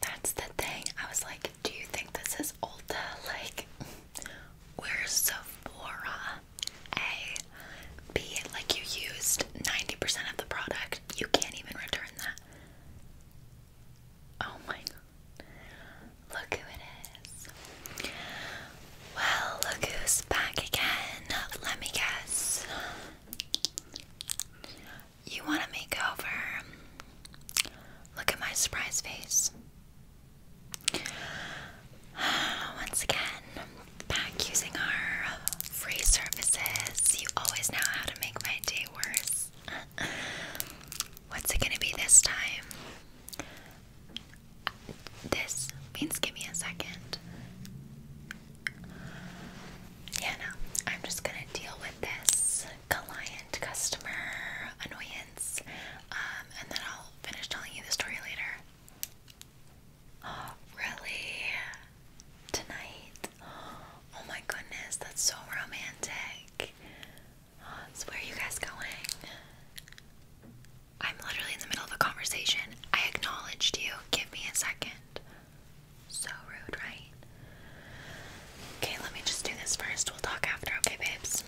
That's the thing. I was like, do you think this is Ulta? Like, where's Sephora? A. B. Like, you used 90% of the product. You can't even return that. Oh my Look who it is. Well, look who's back again. Let me guess. You want a makeover? Look at my surprise face. Once again, back using our free services. You always know how to make my day worse. What's it gonna be this time? This means give me a second. Yeah, no, I'm just gonna deal with this client customer annoyance, um, and then I'll finish telling you the story later. really? Tonight? Oh my goodness, that's so romantic. where are you guys going? I'm literally in the middle of a conversation. I acknowledged you. Give me a second. So rude, right? Okay, let me just do this first. We'll talk after, okay, babes?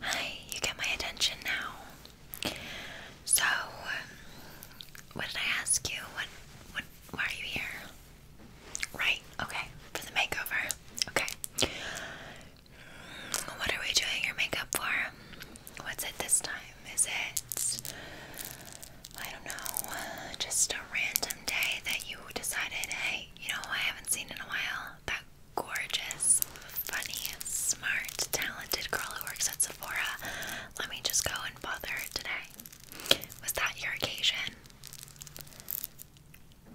Hi, you get my attention now. So, um, what did I ask you? What, what, why are you here? Right, okay, for the makeover. Okay. Mm, what are we doing your makeup for? What's it this time? Is it I don't know, uh, just a random day that you decided, hey, you know, I haven't seen in a while that gorgeous, funny, smart, talented girl who works at Sephora. Let me just go and bother her today. Was that your occasion?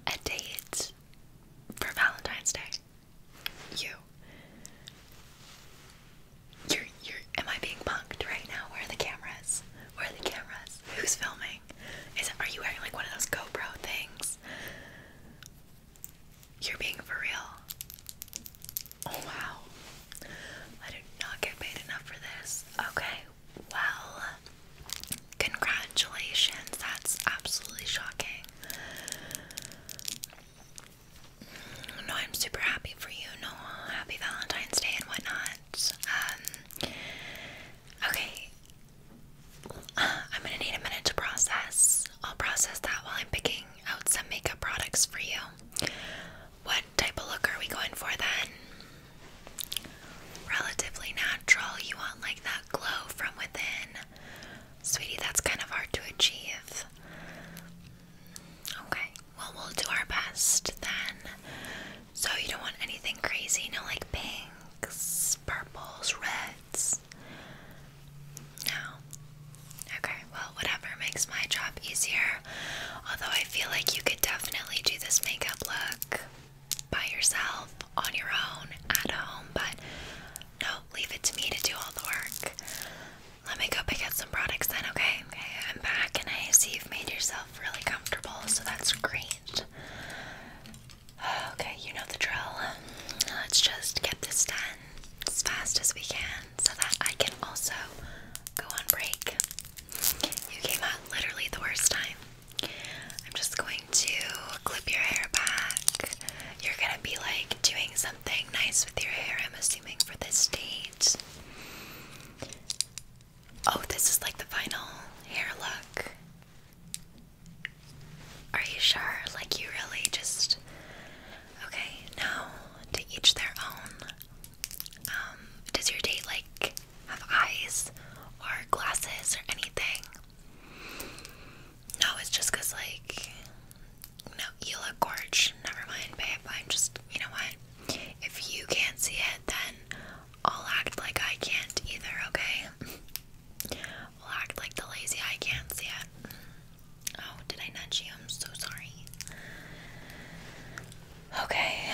A date for Valentine's Day? You. You're, you're, am I being punked right now? Where are the cameras? Where are the cameras? Who's filming? Is it, are you wearing like one of those GoPro things? You're being for real. Oh wow. I did not get paid enough for this. Okay, well, congratulations. That's absolutely shocking. No, I'm super happy for you. No, happy Valentine's Day and whatnot. Um, okay, I'm gonna need a minute to process. I'll process that while I'm picking out some makeup products for you. What type of look are we going for then? Relatively natural. You want like that glow from within. Sweetie, that's kind of hard to achieve. Okay, well, we'll do our best then. So, you don't want anything crazy, no like pinks, purples, reds. No. Okay, well, whatever makes my job easier. Although, I feel like you could definitely do this makeup look by yourself, on your own, at home, but no, leave it to me to do all the work. Let me go pick out some products then, okay? Okay, I'm back and I see you've made yourself really comfortable, so that's great. Okay, you know the drill. Let's just get this done as fast as we can so that I can also go on break. You came out literally the worst time. I'm just going to clip your hair back. You're gonna be like doing something nice with your hair, I'm assuming, for this date. Oh, this is like the final hair look. Are you sure? Like, you really just. Okay, now to each their own. Um, does your date, like, have eyes or glasses or anything? No, it's just because, like, no, you look gorge. Never mind, babe. I'm just, you know what? If you can't see it, then I'll act like I can't either, okay? I'll act like the lazy I can't see it. Oh, did I nudge you? I'm so sorry. Okay,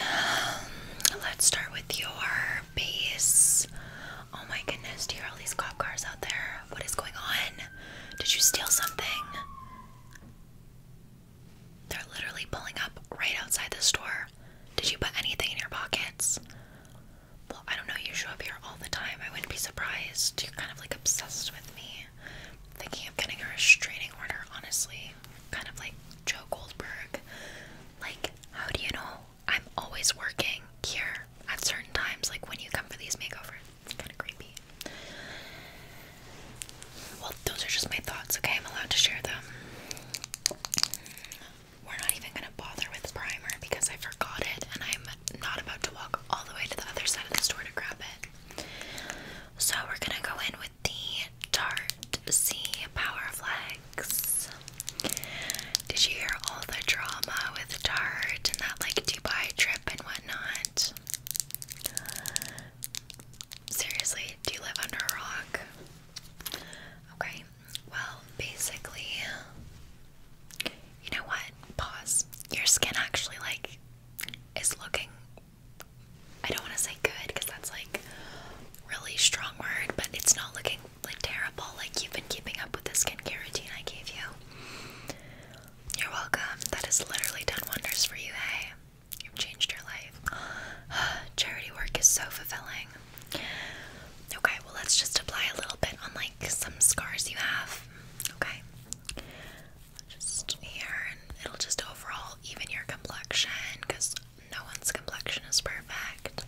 let's start with your base. Oh my goodness, do you hear all these cop cars out there? What is going on? Did you steal something? They're literally pulling up right outside the store. Did you put anything in your pockets? Well, I don't know. You show up here all the time. I wouldn't be surprised. You're kind of like obsessed with me. Thinking of getting a restraining order, honestly. Kind of like Joe Goldberg. Like, how do you know I'm always working here at certain times? Like when you come for these makeovers, kind of creepy. Well, those are just my thoughts, okay? I'm allowed to share them. We're not even gonna bother with primer because I forgot it and I'm not about to walk all the way to the other side of the store to grab it. So we're gonna go in with the Tarte C Power Flex. Did you hear all the drama with Tarte and that like Dubai trip and whatnot? Seriously, do you live under a rock? Okay, well, basically, you know what? Pause. Your skin actually, like, is looking, I don't want to say good because that's like really strong word, but it's not looking like terrible. Like, you've been keeping up with the skincare routine I gave you. You're welcome. That has literally done wonders for you, hey? You've changed your life. Charity work is so fulfilling. Okay, well, let's just apply a little bit on like some scars you have. Okay, just here, and it'll just overall even your complexion because no one's complexion is perfect.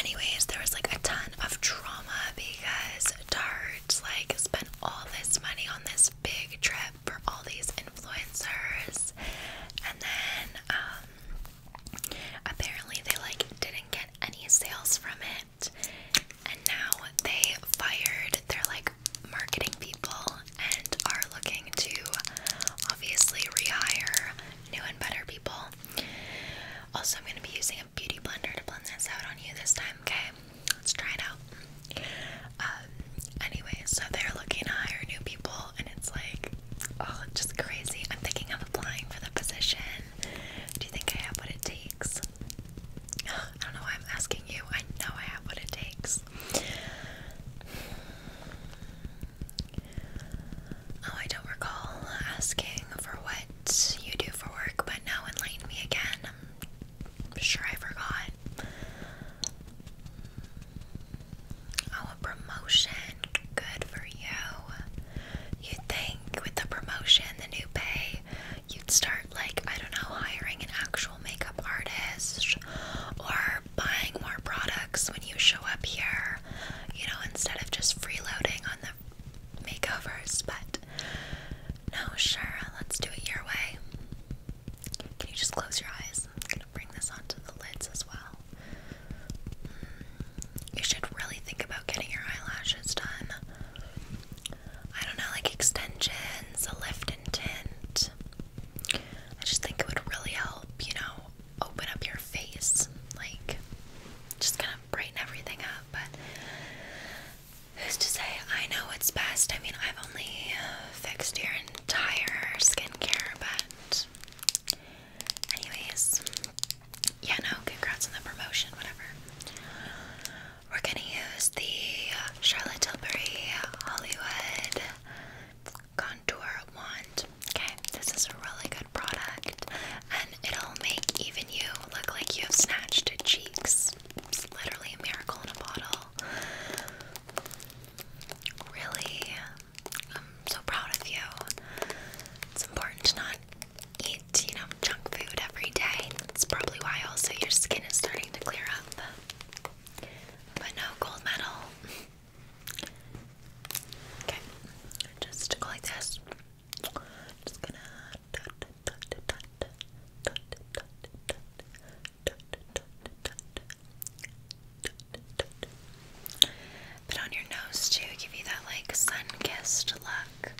Anyways, there was like a ton of trauma because Tarte like spent all this money on this big trip for all these influencers, and then um, apparently they like didn't get any sales from it, and now they fired their like marketing people and are looking to obviously rehire new and better people. Also, I'm going to be using a beauty blender to blend this out on you this time, okay? Let's try it out. Uh, anyway, so they're looking to hire new people, and it's like, oh, just crazy. I'm thinking of applying for the position. Do you think I have what it takes? I don't know I'm asking you. I know I have what it takes. Oh, I don't recall asking for what you do for work, but now enlighten me again. I'm sure I forgot. Oh, promotion. Good for you. You'd think with the promotion, the new pay, you'd start, like, I don't know, hiring an actual makeup artist or buying more products when you show up here, you know, instead of just freeloading on the makeovers. But no, sure, let's do it your way. Can you just close your eyes? I'm gonna bring this onto the lids as well. Mm, you should really think about getting your eyelashes done. I don't know, like extensions, a lift and tint. I just think it would really help, you know, open up your face. Like, just kind of brighten everything up. But who's to say I know what's best? I mean, I've only fixed your entire skincare bag. Anyways, yeah, no, congrats on the promotion, whatever. We're gonna use the uh, Charlotte Tilbury Hollywood Contour Wand. Okay, this is a really good product, and it'll make even you look like you have snatched cheeks. It's literally a miracle in a bottle. Really, I'm so proud of you. It's important to not eat, you know, junk food every day. That's probably why also your skin is starting to clear up. But no gold medal. okay, just go this. Just gonna but on your nose too, give you that like sun-kissed look.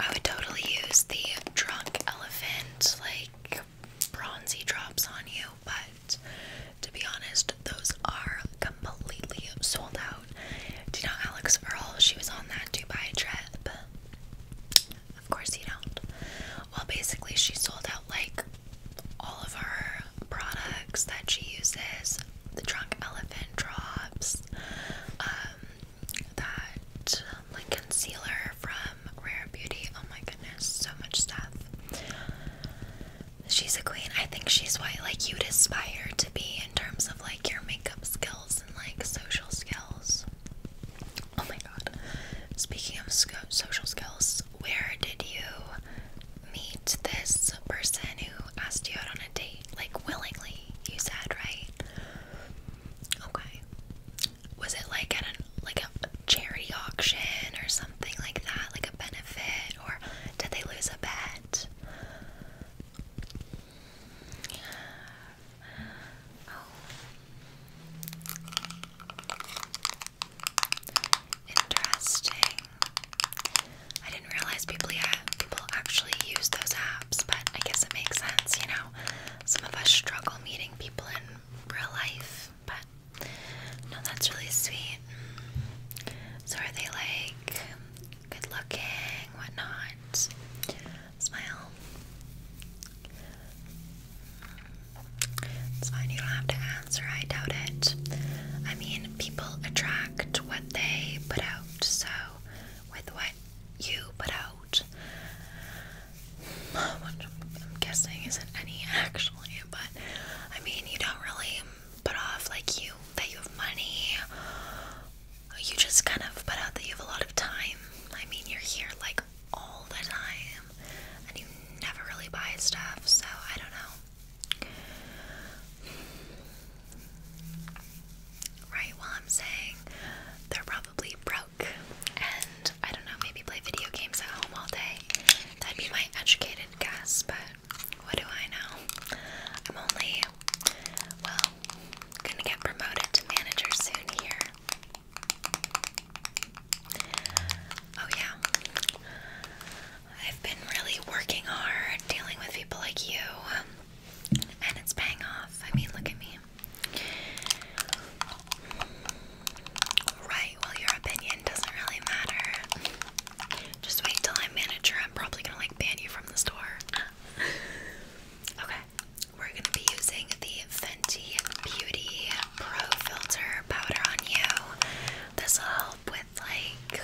I would totally use the drunk elephant like bronzy drops on you, but to be honest, those are completely sold out. Do you know Alex Earl? She was on that Dubai trip. Of course you don't. Well, basically, she sold out like all of her products that she uses the trunk elephant drops, um, that um, like concealer from Rare Beauty. Oh my goodness, so much stuff. She's a queen. I think she's what like you'd aspire to be in terms of like your makeup skills and like social skills. Oh my god. Speaking of social skills, where did you meet this person who asked you out on a date? Like willingly, you said, right? Okay. Was it like at an like a charity auction or something like that? Like a benefit or did they lose a bet? Interesting. I didn't realize people yeah, people actually use those apps, but I guess it makes sense, you know. Some of us struggle meeting people in real life, but no, that's really sweet. So are they like good looking, whatnot? Smile. It's fine, you don't have to answer, I doubt it. I mean, people attract what they put out, so with what you put out, which I'm guessing isn't any actually, but I mean, you don't really put off like you that you have money. You just kind of put out that you have a lot of time. I mean, you're here like all the time and you never really buy stuff, so I don't know. Right, well, I'm saying they're probably broke, and I don't know, maybe play video games at home all day. That'd be my educated guess, but what do I know? I'm only, well, gonna get promoted to manager soon here. Oh, yeah. I've been really working hard dealing with people like you, um, and it's paying off. I mean, look at me. Right, well, your opinion doesn't really matter. Just wait till I'm manager. I'm probably gonna like ban you from the store. okay, we're gonna be using the Fenty Beauty Pro Filter powder on you. This will help with like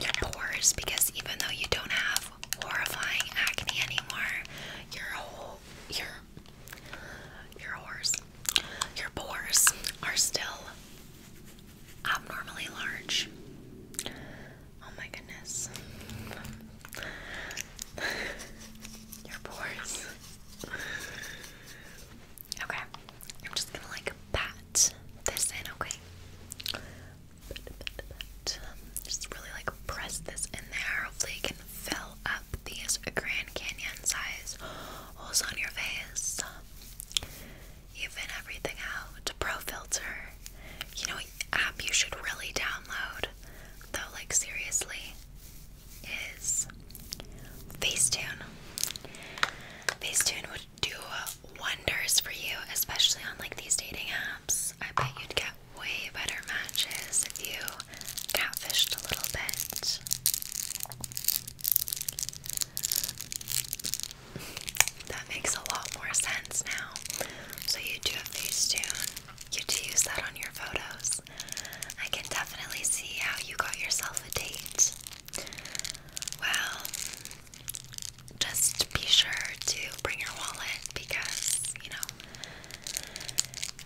your pores because even though you don't have horrifying acne anymore, your whole your your pores your pores are still abnormally large. Oh my goodness. Your pores. Okay, I'm just gonna like pat this in, okay? Just really like press this in there. Hopefully, can fill up these Grand Canyon size holes on your face. Even everything out. Pro filter. You know, app you should really download, though, like, seriously is Facetune. Facetune would do wonders for you, especially on like these dating apps. I bet you'd get way better matches if you catfished a little bit. That makes a lot more sense now. So you do a Facetune. You do use that on your photos. I can definitely see how you got yourself a date. Well, just be sure to bring your wallet because, you know,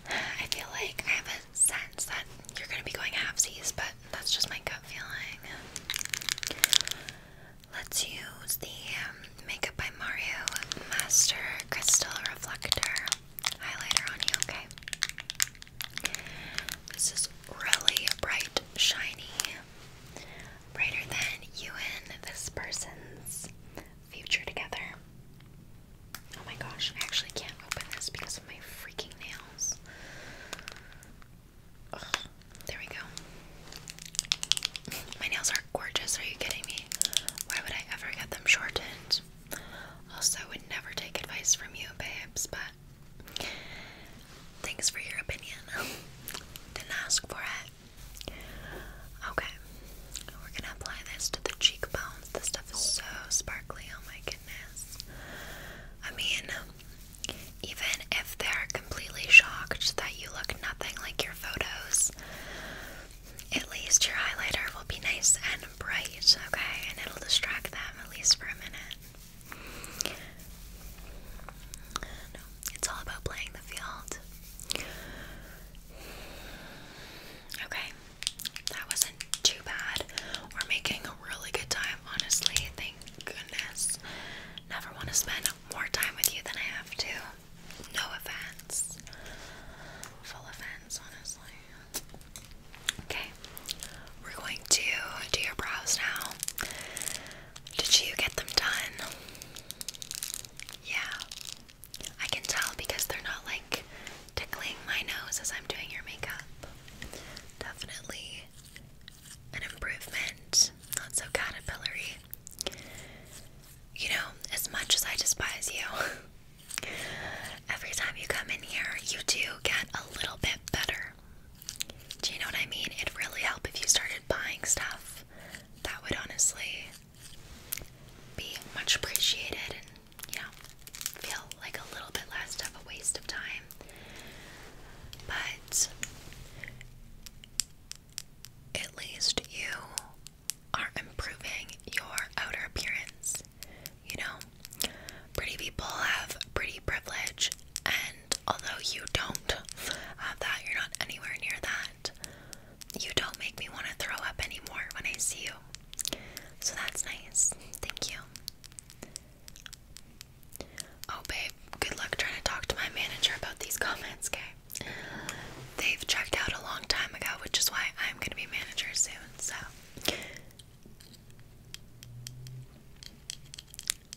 I feel like I have a sense that you're going to be going halfsies, but that's just my gut feeling. Let's use the um, Makeup by Mario Master Crystal Reflector highlighter on you, okay? This is really bright, shiny, brighter than you and this person's future together. Oh my gosh, I actually can't open this because of my freaking nails. there we go. My nails are gorgeous, are you kidding me? Why would I ever get them shortened? Also, I would never take advice from you, babes, but Thanks for your opinion. Didn't ask for it. Okay, we're gonna apply this to the cheekbones. This stuff is so sparkly, oh my goodness. I mean, even if they're completely shocked that you look nothing like your photos, at least your highlighter will be nice and bright, okay? And it'll distract them at least for a minute it's all about playing the field. Okay, that wasn't too bad. We're making a really good time, honestly. Thank goodness. Never want to spend more time with you than I have to. No offense. Full offense, honestly. Okay, we're going to do your brows now. Did you get them done? Yeah, I can tell because they're not like tickling my nose as I'm doing your makeup. Definitely an improvement. Not so caterpillary. You know, as much as I despise you, every time you come in here, you do get a little bit better. Do you know what I mean? It'd really help if you started buying stuff. That would honestly be much appreciated and, you know, feel like a little bit less of a waste of time. But at least you are improving your outer appearance you know? Pretty people have pretty privilege, and although you don't have that, you're not anywhere near that, you don't make me want to throw up anymore when I see you. So that's nice. Thank you. Oh, babe, good luck trying to talk to my manager about these comments, okay? They've checked out a long time ago, which is why I'm gonna be manager soon, so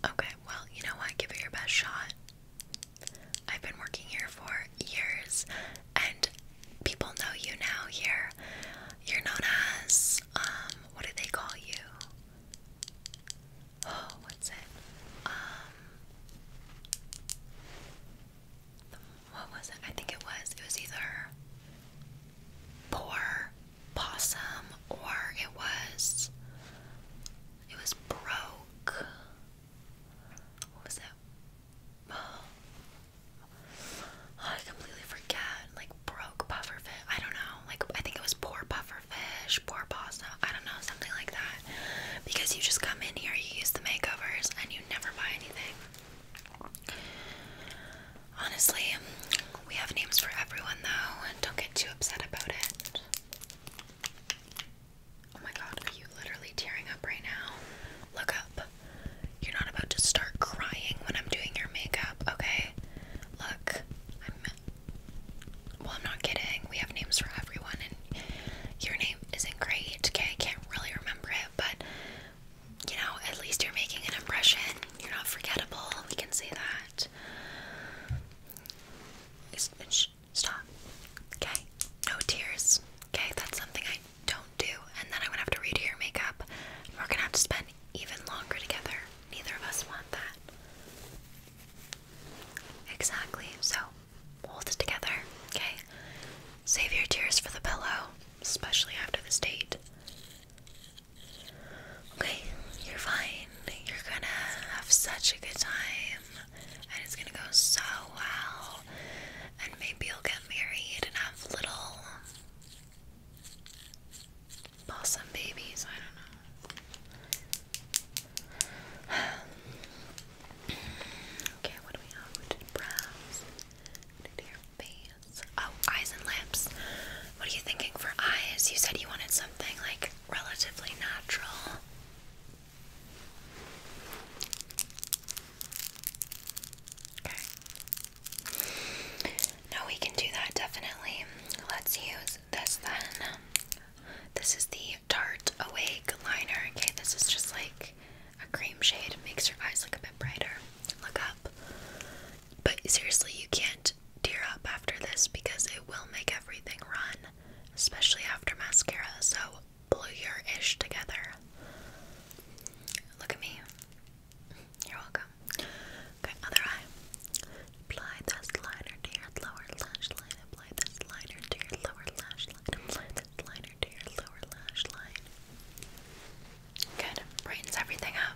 Okay, well, you know what? Give it your best shot. I've been working here for years, and people know you now here. You're known as, um, what do they call you? Oh, what's it? Um, what was it? I think it was, it was either poor possum or it was it was broke. What was it? Oh, I completely forget. Like broke pufferfish. I don't know. Like I think it was poor pufferfish, poor possum. I don't know, something like that. Because you just come in here, you use the makeovers, and you never buy anything. Honestly, we have names for everyone though, and don't get too upset about it. Oh my god, are literally tearing up right now? Look up. You're not about to start crying when I'm doing your makeup, okay? Look, Well, I'm not kidding. We have names for everyone, and your name isn't great, okay? I can't really remember it, but you know, at least you're making an impression. You're not forgettable. We can say that stop. Okay? No tears. Okay? That's something I don't do. And then I'm gonna have to redo your makeup. we're gonna have to spend even longer together. Neither of us want that. Exactly. So, hold it together. Okay? Save your tears for the pillow, especially after this date. Okay, you're fine. You're gonna have such a good time, and it's gonna go so well. And maybe you'll get married and have little possum babies. I don't know. okay, what do we have? We did brows, we face, Oh, eyes and lips. What are you thinking for eyes? You said you wanted something like relatively natural. Okay. we can do that definitely. Let's use this then. This is the Tarte Awake Liner. Okay, this is just like a cream shade. makes your eyes look a bit brighter. Look up. But seriously, you can't tear up after this because it will make everything run, especially after mascara. So glue your ish together. Look at me. You're welcome. Okay, other eye. Apply this liner to your lower lash line. Apply this liner to your lower lash line. Apply this liner to your lower lash line. Good. Brightens everything up.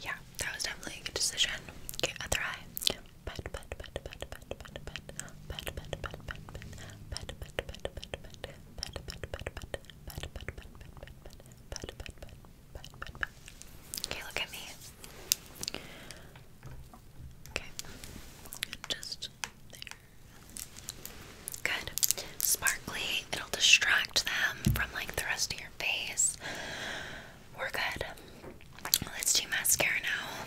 Yeah, that was definitely a good decision. Okay, other eye. But, Okay, look at me. Okay, just there. Good. Sparkly. It'll distract them from like the rest of your face. We're good. Let's do mascara now.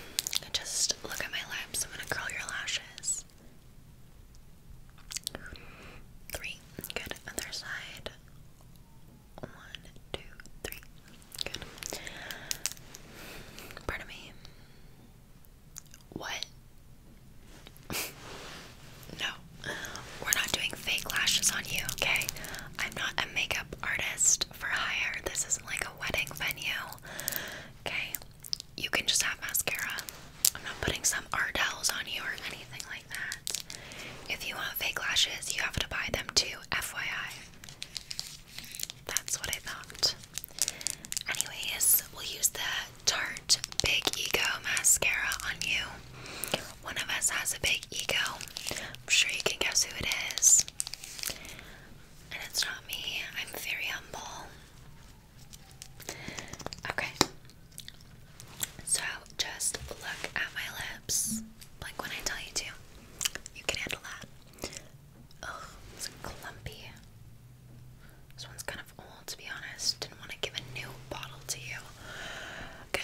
Just look at my lips. I'm gonna curl your lashes. Three. Good. Other side. One, two, three. Good. Pardon me. What? no, we're not doing fake lashes on you, okay? I'm not a makeup artist for hire. This isn't like a wedding venue, okay? You can just have mascara. I'm not putting some Ardell's on you or anything like that. If you want fake lashes, you have to buy them too, FYI. That's what I thought. Anyways, we'll use the Tarte Big Ego mascara on you. One of us has a big ego. I'm sure you can guess who it is. And it's not me. I'm very humble. Okay. So just look at my lips. Like when I tell you to. You can handle that. Ugh, it's clumpy. This one's kind of old to be honest. Didn't want to give a new bottle to you. Okay,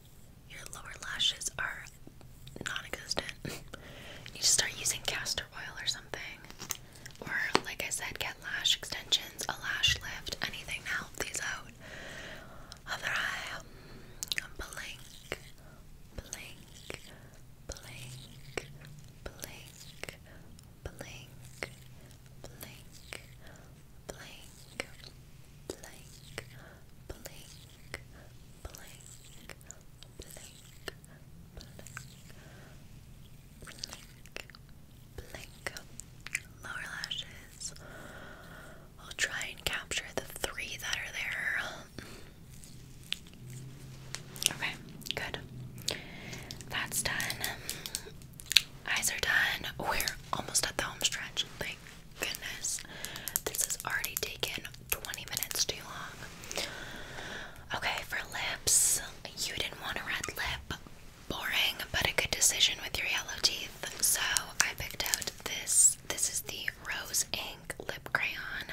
Your lower lashes are non existent. you just start using castor oil or something. Or, like I said, get lash extensions, a lash lift, anything to help these out. Other eye, um, blink, blink, blink, blink, blink, blink, blink, blink, blink blink, blink, blink, blink. Lower lashes. I'll try and capture the three that are there. Okay, good. That's done. Eyes are done. We're almost at the home stretch. Like goodness, this has already taken 20 minutes too long. Okay, for lips, you didn't want a red lip. Boring, but a good decision with your yellow teeth. So I picked out this. This is the Rose Ink Lip Crayon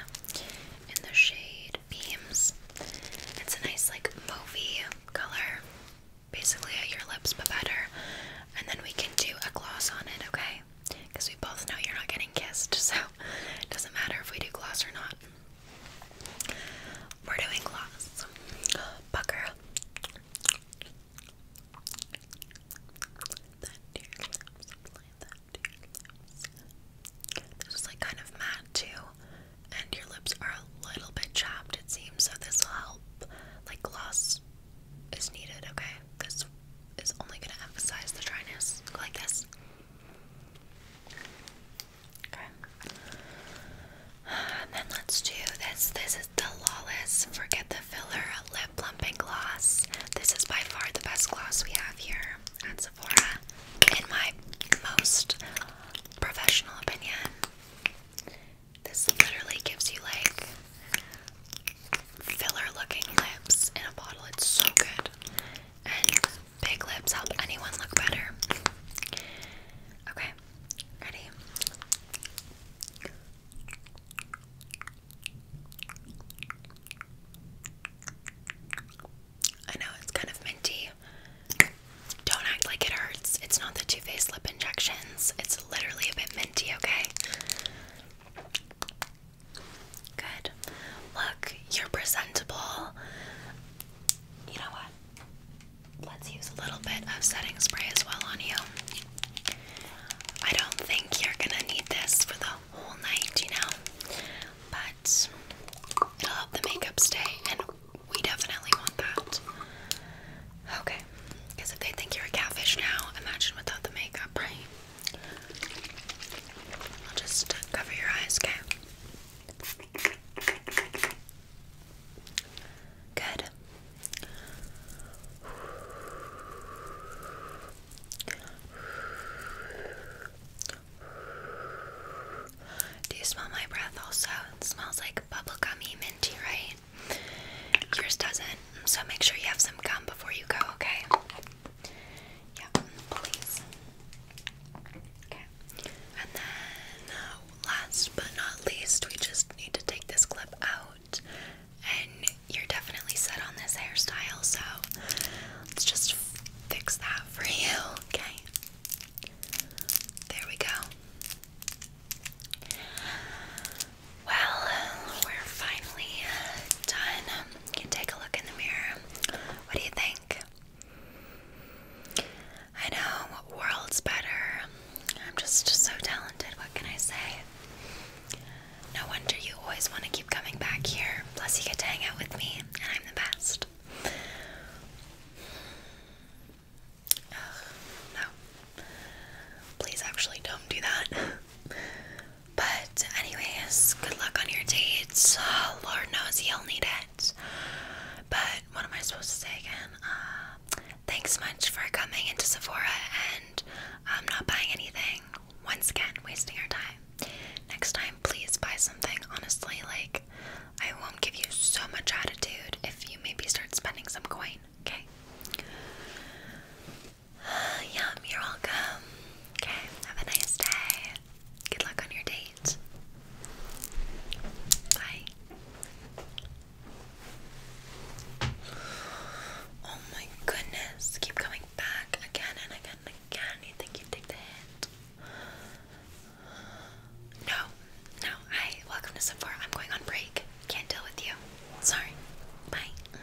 in the shade Beams. It's a nice, like, movie color. Basically, at your lips, but better. And then we can do a gloss on it, okay? because we both know you're not getting kissed, so it doesn't matter if we do gloss or not. We're doing gloss. Pucker. That This is like kind of matte too, and your lips are a little bit chapped, it seems, so this will help. Like gloss is needed, okay? This is only going to emphasize the dryness. like this. Okay. And then let's do this. This is the Lawless Forget the Filler Lip Plumping Gloss. This is by far the best gloss we have here at Sephora, in my most professional opinion. This literally gives you like filler looking lips in a bottle. It's so good. And big lips help anyone look better. Okay, ready? I know it's kind of minty. Don't act like it hurts. It's not the Too Faced lip injections. It's literally a bit minty, okay? Good. Look, you're presentable. You know what? Let's use a little bit of setting spray as well on you. I don't think you're gonna need this for the whole night, you know? But it'll help the makeup stay, and we definitely want that. Okay, because if they think you're a catfish now, imagine without the makeup, right? I'll just cover your eyes, okay? Good. Do you smell my breath also? It smells like bubblegummy minty, right? Yours doesn't. So make sure you have some gum before you go, okay? Yep, please. Okay. And then, uh, last but not least, we just need to take this clip out. And you're definitely set on this hairstyle, so let's just fix that for you, okay? There we go. Well, we're finally done. You take a look in the mirror. What do you think? I know, what world's better. I'm just, so talented, what can I say? No wonder you always want to keep coming back here. Plus, you get to hang out with me, and I'm the best. no. Please, actually, don't do that. But, anyways, good luck on your dates. Uh, Lord knows you'll need it. But, what am I supposed to say again? Uh, thanks much for coming into Sephora, and I'm not buying anything. Once again, wasting our time. Next time, please buy something. Honestly, like, I won't give you so much attitude if you maybe start spending some coin, okay? Yum, you're welcome. Okay, have a nice day. Good luck on your date. Bye. Oh my goodness. Keep coming back again and again and again. You think you take the No, no. Hi, welcome to Sephora. I'm going on break. Can't deal with you. Sorry. Bye.